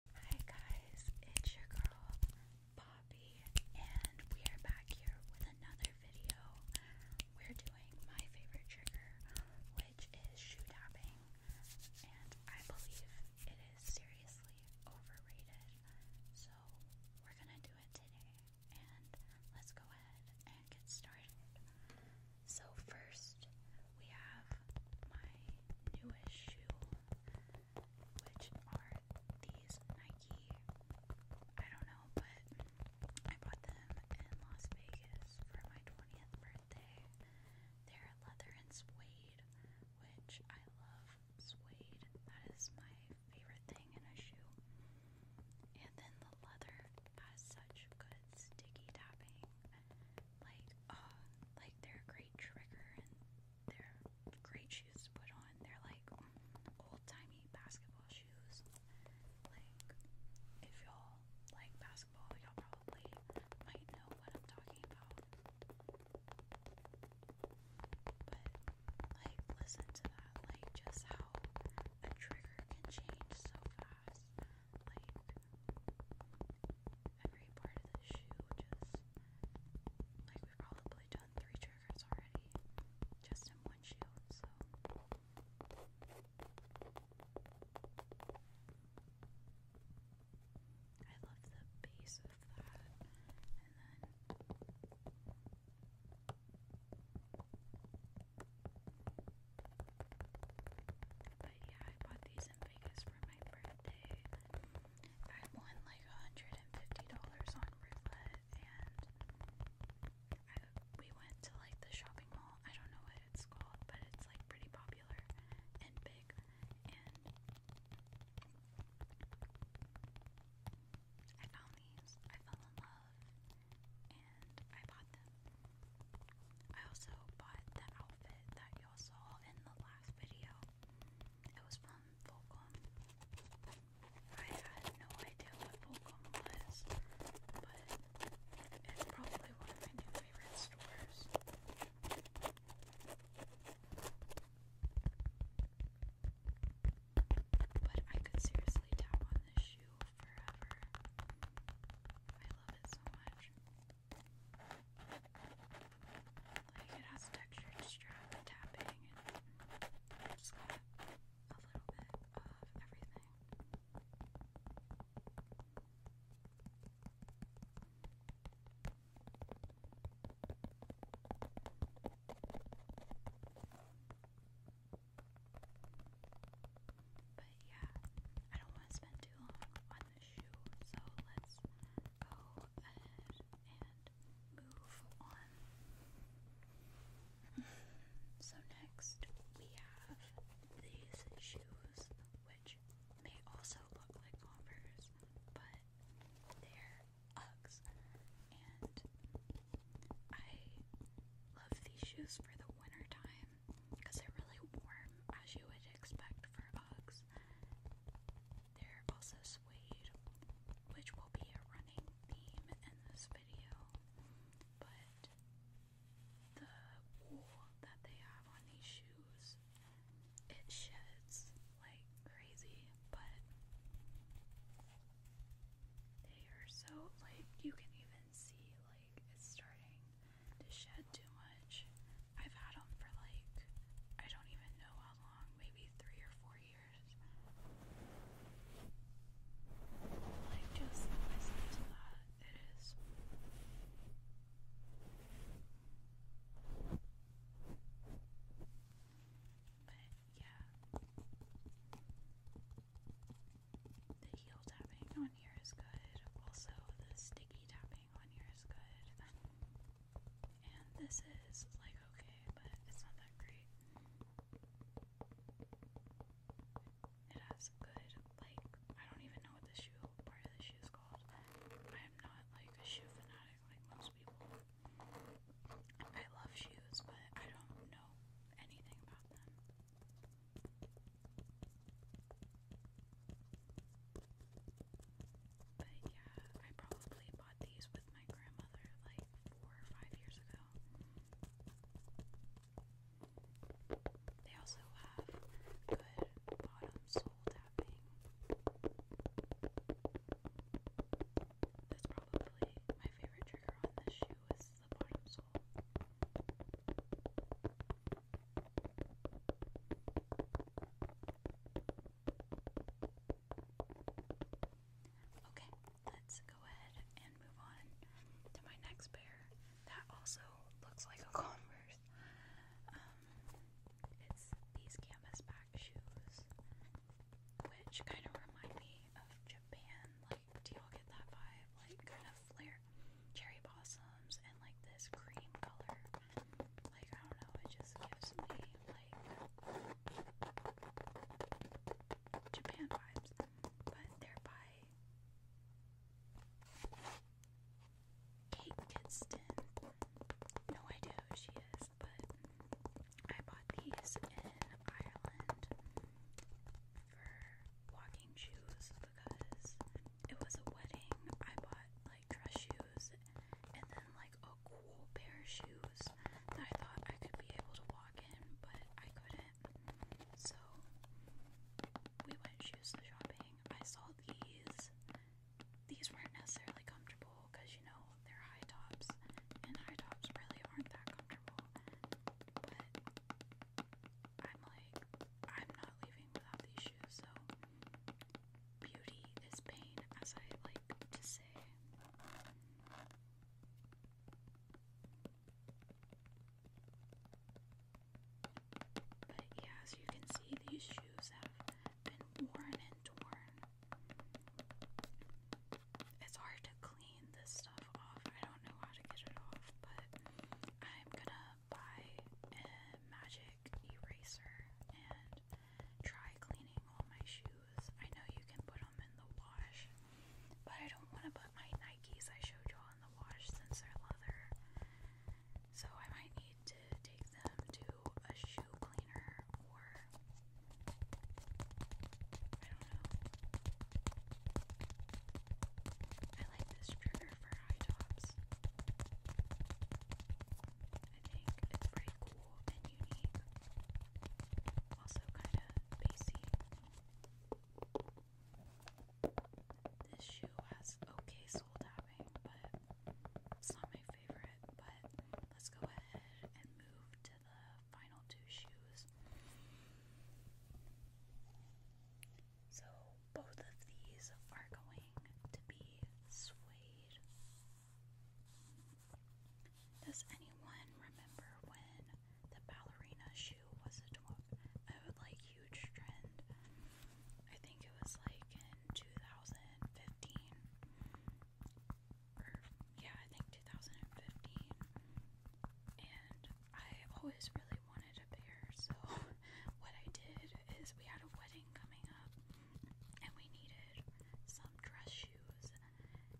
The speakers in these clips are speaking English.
Hi guys, it's your girl Poppy, and we are back here with another video. We're doing my favorite trigger, which is shoe tapping, and I believe it is seriously overrated. So we're gonna do it today, and let's go ahead and get started. So first, we have my newest shoe, which are these Nike. I don't know, but I bought them in Las Vegas for my 20th birthday. They're leather and suede, which I love suede. That is my favorite thing in a shoe. And then the leather has such good sticky tapping like uh like they're great trigger and they're great shoes to put on. They're like old timey basketball shoes. Like if y'all like basketball, y'all probably might know what I'm talking about. But like listen to that, like just how a trigger can change so fast. Like every part of the shoe, which like we've probably done three triggers already just in one shoe, so. I love the base of that, and then but yeah, I bought these in because for my birthday I won like $150 on roulette and I, we went to like the shopping mall. I don't know what it's called, but it's like pretty popular and big. And I found these. I fell in love and I bought them. I also bought the outfit that you saw in the last video. It was from Volcom. I had no idea what Volcom was, but it's probably one of my new favorite stores. But I could seriously tap on this shoe forever. I love it so much. Like it has textured strap and tapping and it's got a little bit of everything but yeah, I don't want to spend too long on this shoe, so let's go ahead and move on. so, next we have these shoes, which may also look like Converse, but they're Uggs, and I love these shoes for the winter time because they're really warm, as you would expect for Uggs. They're also suede, which will be a running theme in this video, but the wool that they have on these shoes, it sheds like crazy, but they are so like you can even see like it's starting to shed too much. I've had them for like I don't even know how long, maybe three or four years. Like just listen to that. It is. But yeah. The heel tapping on here is good. Also, the sticky tapping on here is good. And this is like okay, but it's not that great. It has good, like, I don't even know what the shoe part of the shoe is called. I am not like a shoe fanatic like most people. I love shoes, but I don't know anything about them. But yeah, I probably bought these with my grandmother like four or five years ago. They also have good bottom sole tapping. That's probably my favorite trigger on this shoe is the bottom sole Okay, let's go ahead and move on to my next pair. That also looks like a Converse. Um, it's these canvas back shoes, which kind of remind me of Japan, like do you get that vibe? Like kind of flare cherry blossoms and like this cream color. Like I don't know, it just gives me like Japan vibes, but they by Kate Kidston. No idea who she is, but I bought these in Ireland for walking shoes because it was a wedding. I bought like dress shoes and then like a cool pair of shoes that I thought I could be able to walk in, but I couldn't. So we went shoes shopping. I saw these. These weren't necessarily comfortable because you know they're high tops, and high tops really aren't that comfortable comfortable but I'm like, I'm not leaving without these shoes, so beauty is pain, as I like to say. But yeah, as you can see, these shoes have been worn and torn it's hard to clean this stuff off. I don't know how to get it off, but I'm gonna buy a magic eraser and try cleaning all my shoes. I know you can put them in the wash, but I don't want to put my Nikes I showed y'all in the wash since they're leather. So I might need to take them to a shoe cleaner or I don't know. I like this trigger for high tops. I think it's pretty cool and unique. Also kind of bassy. This shoe has okay sole tapping, but it's not my favorite. But let's go ahead and move to the final two shoes. So both of these are going to be suede. Does anyone remember when the ballerina shoe was a like huge trend. I think it was like in 2015 or yeah, I think 2015. And I always really wanted a pair, so what I did is we had a wedding coming up and we needed some dress shoes. And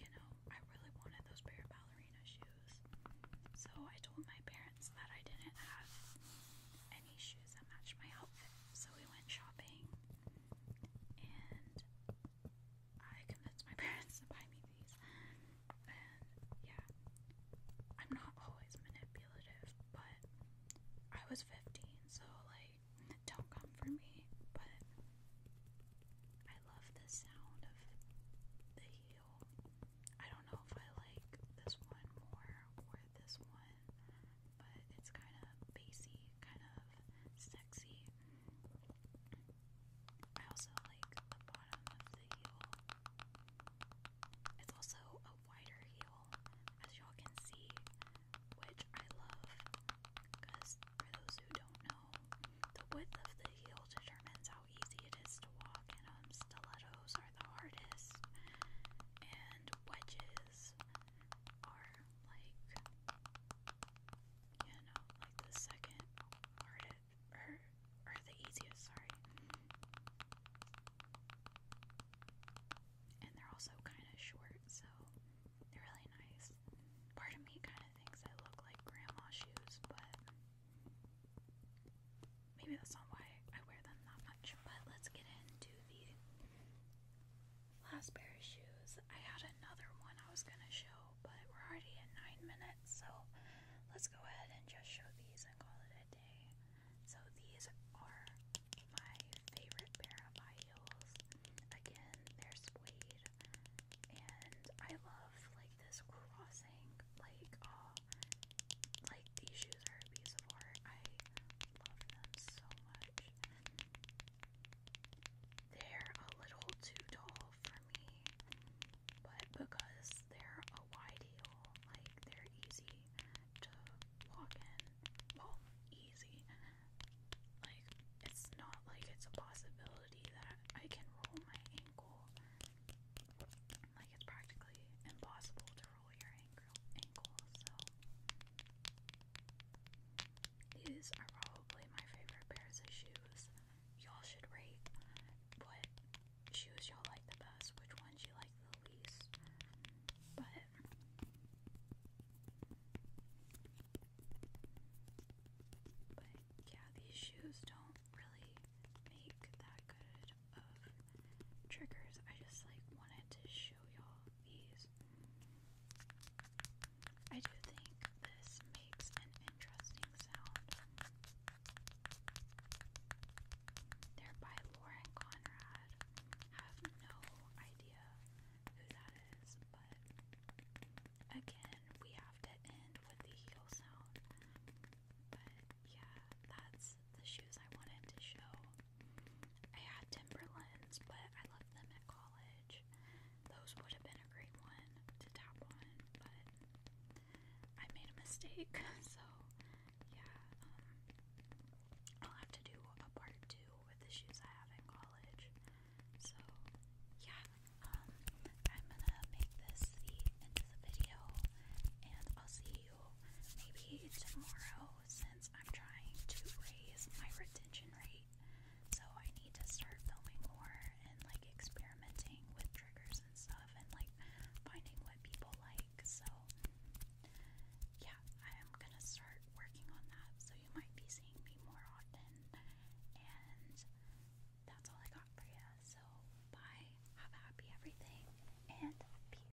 you know, I really wanted those pair of ballerina shoes. So I told my parents that I didn't have any shoes that matched my outfit. So we went shopping and I convinced my parents to buy me these. And yeah, I'm not always manipulative, but I was 15, so like, don't come for me. But I love the sound of the heel. I don't know if I like this one more or this one, but it's kind of bassy, kind of sexy. I also like the bottom of the heel. It's also a wider heel, as y'all can see, which I love because for those who don't know, the width of the heel determines how easy it is to walk, and um, stilettos are the hardest, and wedges are like, you know, like the second hardest, or, or the easiest, sorry. And they're also kind of short, so they're really nice. Part of me kind of thinks they look like grandma shoes, but maybe that's not why I wear them that much. But let's get into the Last pair of shoes. I had another one I was gonna show, but we're already at nine minutes, so let's go ahead and just show these and call it a day. So these are my favorite pair of high heels. Again, they're suede, and I love like this crossing, like uh, like these shoes are a piece of art. I love them so much. They're a little too tall for me, but because they're a wide heel, like they're easy to walk in. Well, easy. Like, it's not like it's a possibility that I can roll my ankle. Like, it's practically impossible to roll your ankle, ankle so these are probably my favorite pairs of shoes. Y'all should rate what shoes y'all like the best, which ones you like the least. But yeah, these shoes don't really make that good of triggers. I just like wanted to show y'all these I do think this makes an interesting sound. Thereby, Laura and Conrad have no idea who that is, but again, we have to end with the heel sound. But yeah, that's the shoes I wanted to show. I had Timberlands, but I left them at college. Those would have been a great one to tap on, but I made a mistake. So, yeah, um, I'll have to do a part two with the shoes I have in college. So, yeah, um, I'm gonna make this the end of the video, and I'll see you maybe tomorrow since. I'm trying to raise my retention rate. So I need to start filming more and like experimenting with triggers and stuff and like finding what people like. So yeah, I am gonna start working on that. So you might be seeing me more often. And that's all I got for you. So bye, have a happy everything, and peace.